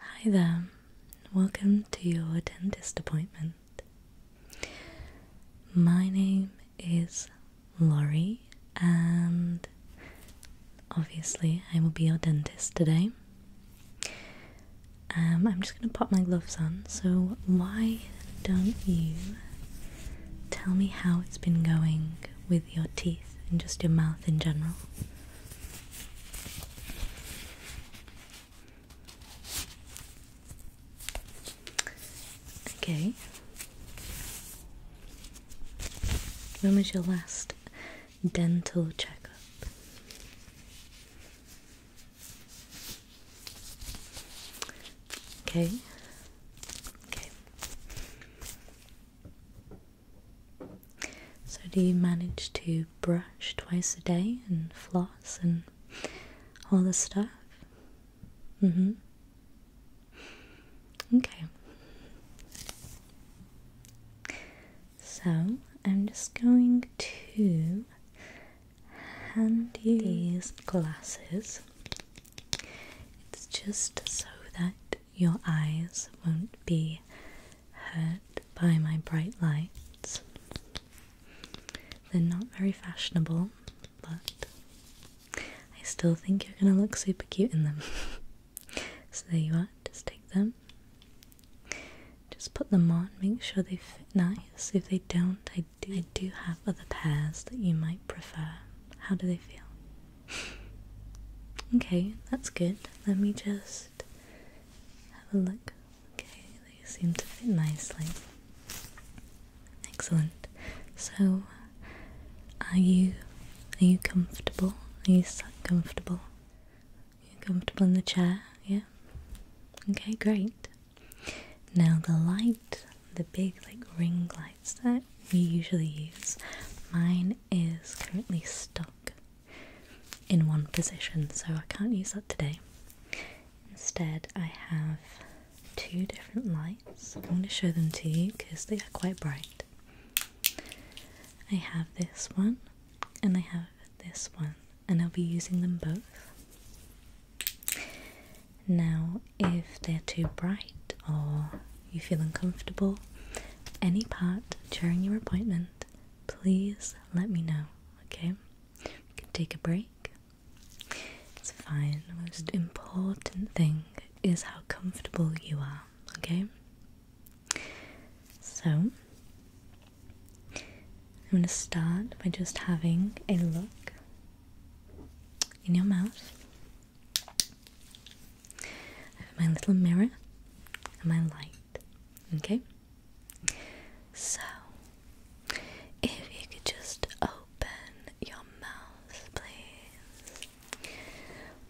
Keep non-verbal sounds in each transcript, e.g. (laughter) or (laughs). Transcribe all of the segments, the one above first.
Hi there, welcome to your dentist appointment. My name is Laurie, and obviously, I will be your dentist today. Um, I'm just going to pop my gloves on, so why don't you tell me how it's been going with your teeth and just your mouth in general? Okay. When was your last dental checkup? Okay. Okay. So, do you manage to brush twice a day and floss and all the stuff? Mm-hmm. Okay. So, I'm just going to hand you these glasses. It's just so that your eyes won't be hurt by my bright lights. They're not very fashionable, but I still think you're gonna look super cute in them. (laughs) so there you are, just take them. Just put them on, make sure they fit nice. If they don't, I do, I do have other pairs that you might prefer. How do they feel? (laughs) okay, that's good. Let me just have a look. Okay, they seem to fit nicely. Excellent. So, are you are you comfortable? Are you sat comfortable? Are comfortable in the chair? Yeah. Okay, great. Now the light, the big like ring lights that we usually use, mine is currently stuck in one position, so I can't use that today. Instead, I have two different lights. I'm going to show them to you because they are quite bright. I have this one and I have this one, and I'll be using them both. Now, if they're too bright or you feel uncomfortable, any part during your appointment, please let me know, okay? We can take a break. It's fine. The most important thing is how comfortable you are, okay? So, I'm going to start by just having a look in your mouth my little mirror and my light. Okay? So, if you could just open your mouth, please.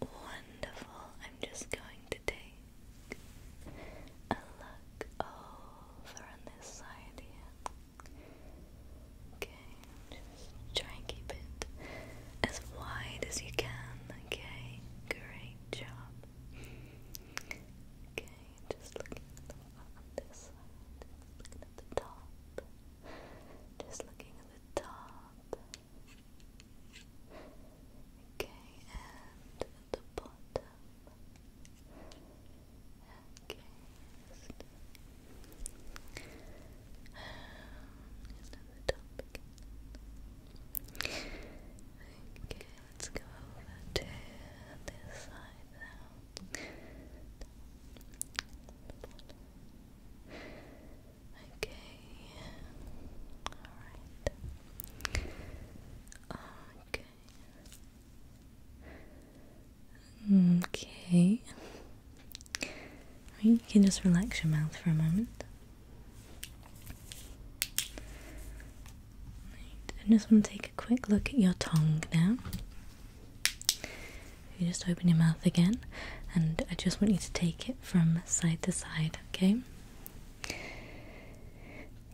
Wonderful. I'm just going to take a look over on this side here. Okay, just try and keep it as wide as you can, okay? Great job. Okay, just looking at the on this side, looking at the top. Just looking at the top. Okay, and the bottom. Okay. Um, Okay, let's go over to this side now. Okay. Alright. Okay. Okay. you can just relax your mouth for a moment. I just want to take a quick look at your tongue now. You just open your mouth again, and I just want you to take it from side to side, okay?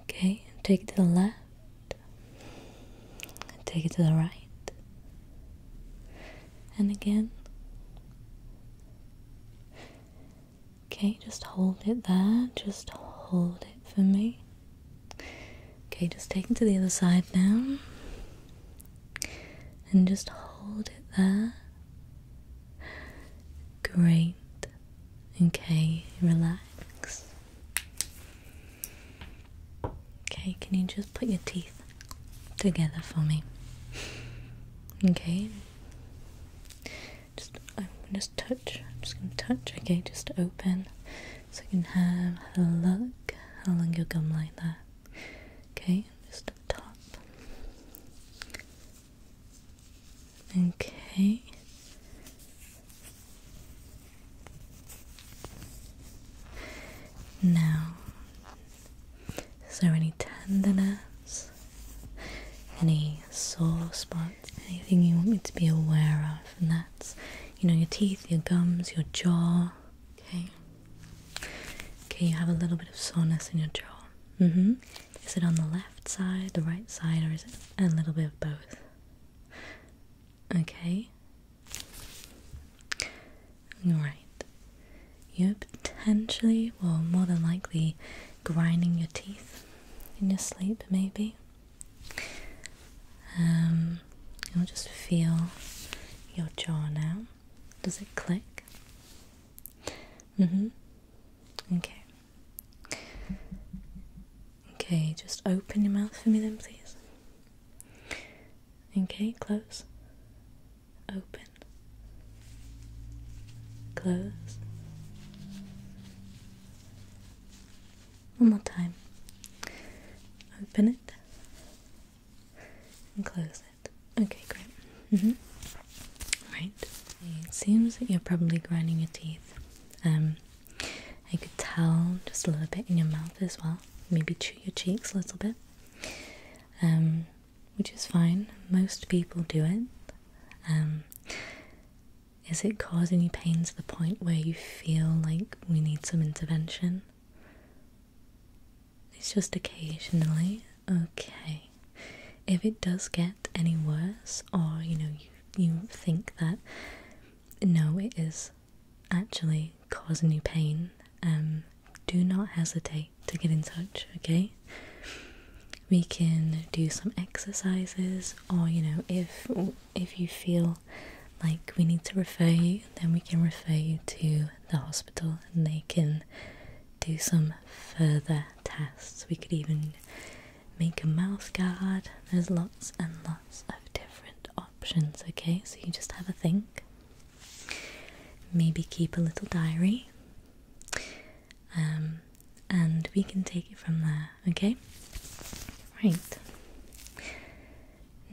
Okay, take it to the left, take it to the right, and again. Okay, just hold it there. Just hold it for me. Okay, just take it to the other side now. And just hold it there. Great. Okay, relax. Okay, can you just put your teeth together for me. Okay. Just I'm just touch. I'm just gonna touch. Okay, just open, so you can have a look. How long your gum like that? Okay, just up top. Okay. Now, is there any tenderness? Any sore spots? Anything you want me to be aware of? And that's, you know, your teeth, your gums, your jaw. Okay. Okay, you have a little bit of soreness in your jaw. Mm hmm. Is it on the left side, the right side, or is it a little bit of both? Okay. Right. You potentially, well, more than likely, grinding your teeth in your sleep, maybe. Um, you'll just feel your jaw now. Does it click? Mm hmm. Okay. Okay, just open your mouth for me then, please. Okay, close open, close. One more time. Open it and close it. Okay, great. Mm-hmm. Right. It seems that you're probably grinding your teeth. Um, I could tell just a little bit in your mouth as well. Maybe chew your cheeks a little bit. Um, which is fine. Most people do it. Um, is it causing you pain to the point where you feel like we need some intervention? It's just occasionally. Okay. If it does get any worse, or you know, you, you think that no, it is actually causing you pain, um, do not hesitate to get in touch, okay? We can do some exercises or you know if if you feel like we need to refer you, then we can refer you to the hospital and they can do some further tests. We could even make a mouth guard. There's lots and lots of different options, okay? So you just have a think. Maybe keep a little diary, um, and we can take it from there, okay? Right.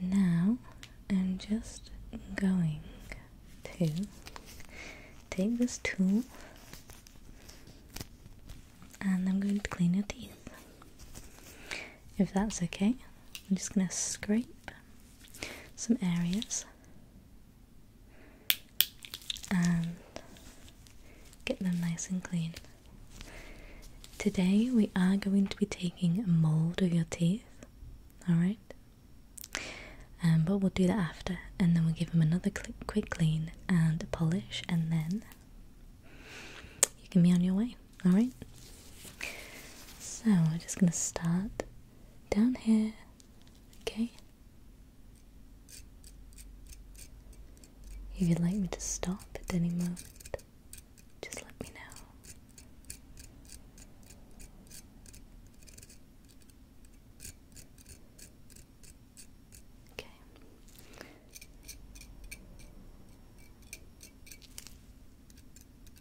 Now I'm just going to take this tool and I'm going to clean your teeth. If that's okay, I'm just going to scrape some areas and get them nice and clean. Today we are going to be taking a mold of your teeth, alright? Um, but we'll do that after and then we'll give them another quick clean and polish and then you can be on your way, alright? So we're just going to start down here, okay? If you'd like me to stop at any moment, just let me know. Okay.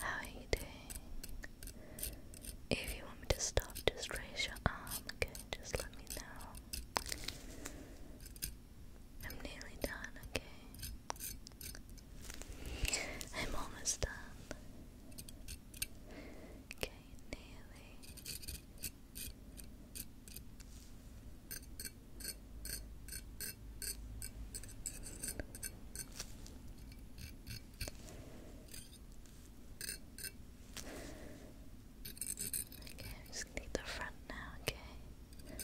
How are you doing? If you want me to stop, just raise your arm, okay? Just let me know. I'm nearly done, okay? I'm almost done. Okay, nearly. Okay, I just need the front now, okay? Okay.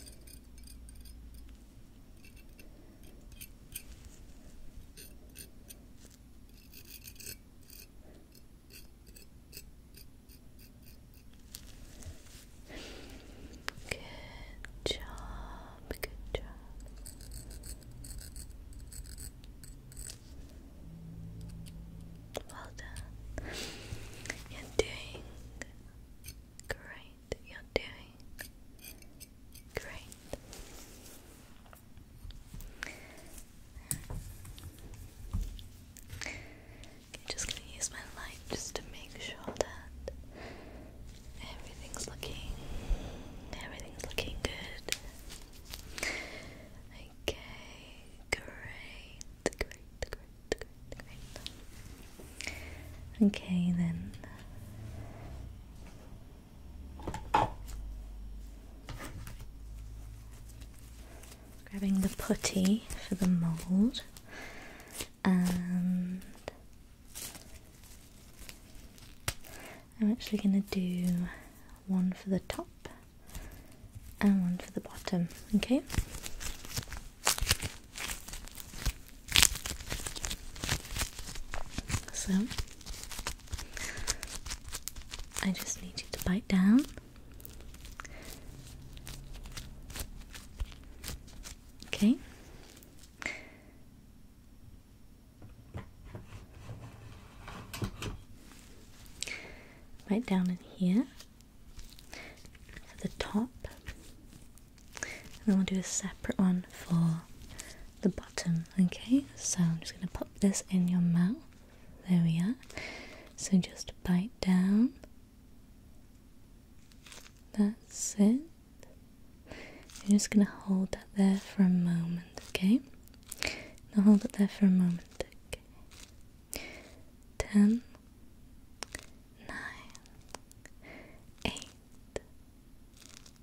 Good job, good job. Well done. You're doing great. You're doing great. Okay, just gonna use my light just to make sure that everything's looking everything's looking good. Okay, great, great, great, great, great. Okay then grabbing the putty for the mould and I'm actually going to do one for the top and one for the bottom, okay? So, I just need you to bite down Okay. Right down in here for the top, and then we'll do a separate one for the bottom. Okay, so I'm just going to pop this in your mouth. There we are. So just bite down that's it. I'm just gonna hold that there for a moment, okay? Now hold it there for a moment, okay? Ten, nine, eight,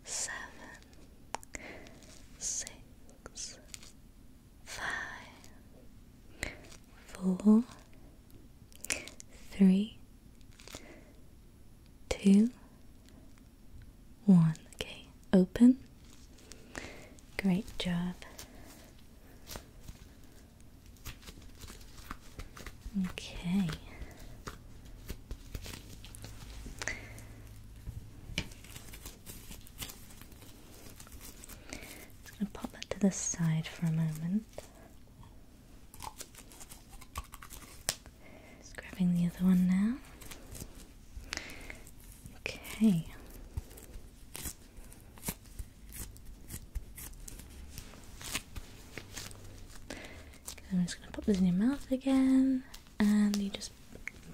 seven, six, five, four, three, two, one. Okay, open. Great job. Okay i Just gonna pop that to the side for a moment. Just grabbing the other one now. Okay. I'm just gonna pop this in your mouth again, and you just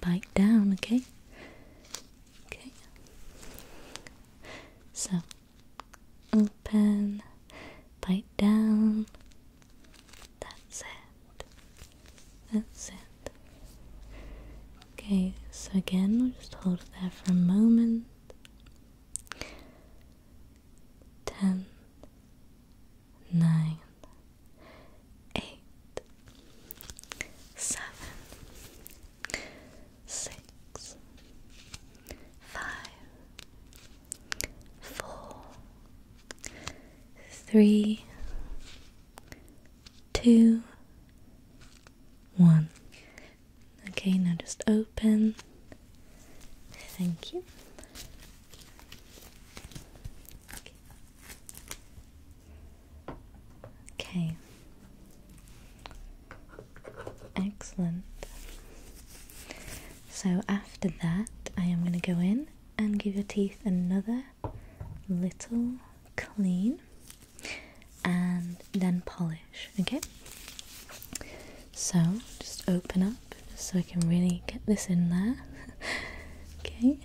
bite down. Okay. Okay. So, open, bite down. That's it. That's it. Okay, so again, we'll just hold it there for a moment. Ten, nine, eight, seven, six, five, four, three, two, one. Okay, now just open. Thank you. Okay. Excellent. So after that, I am going to go in and give your teeth another little clean and then polish, okay? So just open up just so I can really get this in there. (laughs) okay.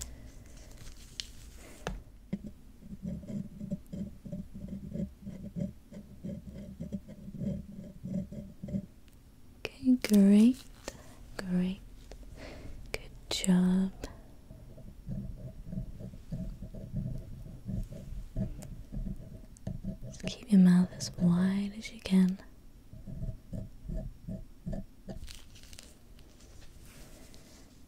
Okay, great, great, good job. keep your mouth as wide as you can.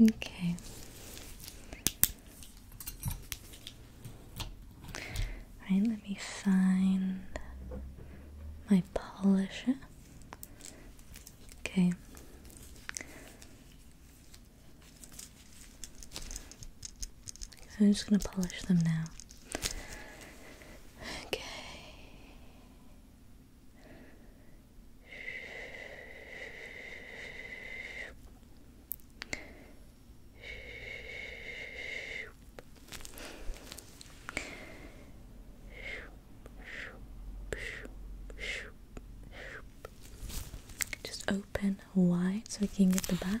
Okay. All right, let me find my polisher. Okay. I'm just going to polish them now. Okay. Just open wide so we can get the back.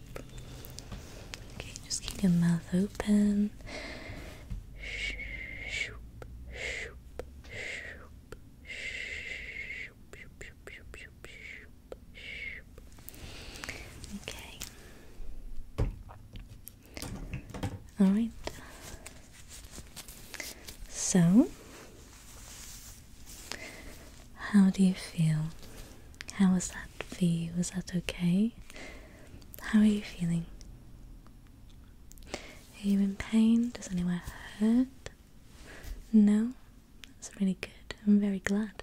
Okay, just keep your mouth open. Okay. All right. So, how do you feel? How was that for Was that okay? How are you feeling? Are you in pain? Does anywhere hurt? No? That's really good. I'm very glad.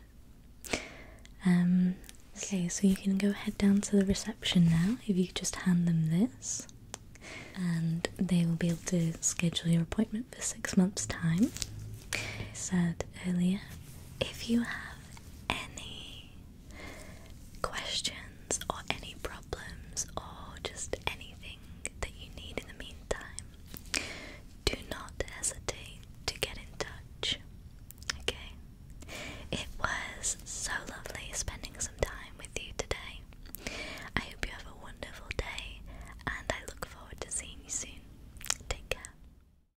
Um, okay, so you can go head down to the reception now if you just hand them this. And they will be able to schedule your appointment for six months' time. I said earlier, if you have any questions or any problems or just anything that you need in the meantime, do not hesitate to get in touch. Okay? It was so lovely spending some time with you today. I hope you have a wonderful day and I look forward to seeing you soon. Take care.